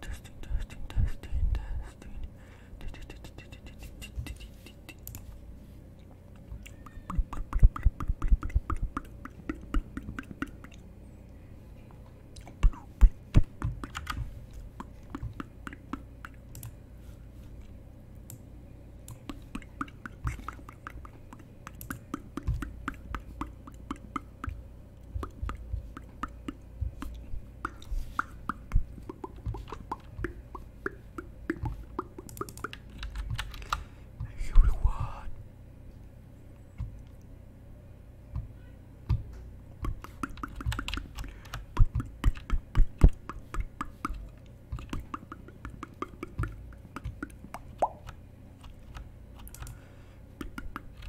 testing, testing, testing, testing. Thank you will what?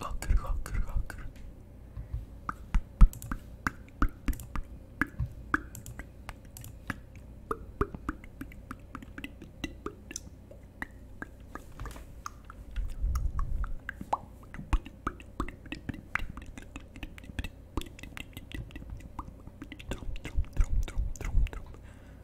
rocker, rocker, rocker. Drum, drum, drum, drum, drum, drum.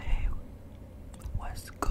Hey, what's good?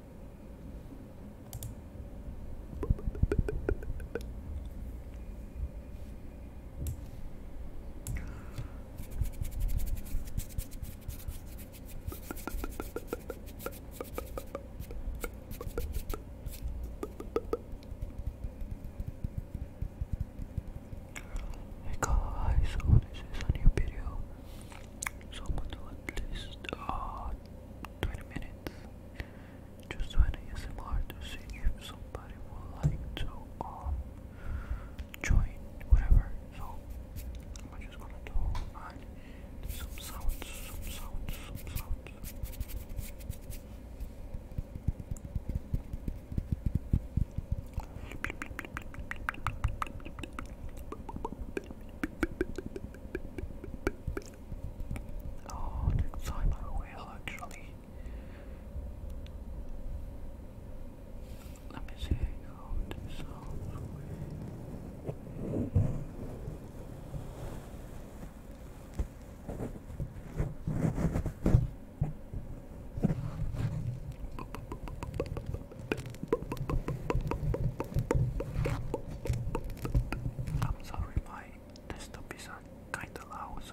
Hey guys, so oh, this is a new video. So I'm gonna do at uh, 20 minutes minutes. Just when ASMR to see if somebody would like to um, join whatever. So I'm just gonna do some sounds, some sounds, some sounds. Oh, that's time I will actually. Let me see how this sounds. I'm sorry, my desktops are uh, kinda loud, so.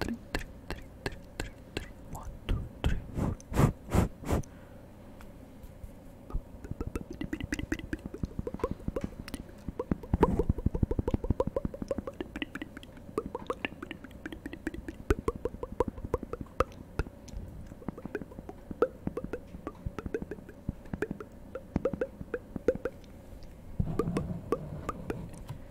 three, three, three, three, three, three, one, two, three, four, four, four, four. Three,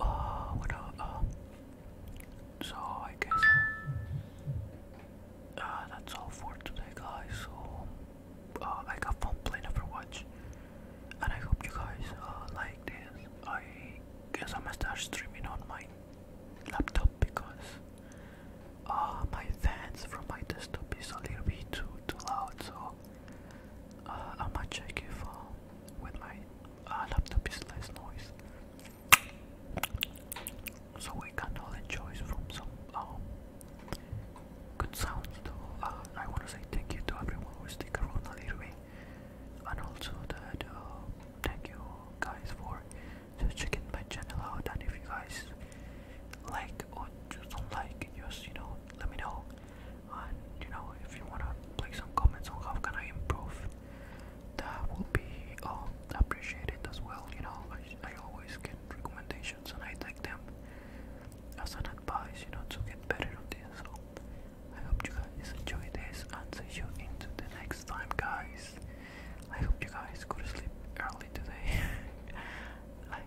Oh, uh, so I guess uh, that's all for today, guys. So uh, I got fun playing Overwatch, and I hope you guys like this. I guess I'm going start streaming on my laptop because my fans from my desktop is a little bit too too loud. So uh, I might check if with my uh, laptop is less noise. So we can all enjoy from some um, good sounds uh, I want to say thank you to everyone who stick around a little bit. And also that uh, thank you guys for checking my channel out and if you guys like or just don't like, just you know, let me know and you know if you wanna like some comments on how can I improve that will be um, appreciated as well you know I, I always get recommendations and I take them as an advice you know to get better on this so I hope you guys enjoy this and see you into the next time guys I hope you guys go to sleep early today Bye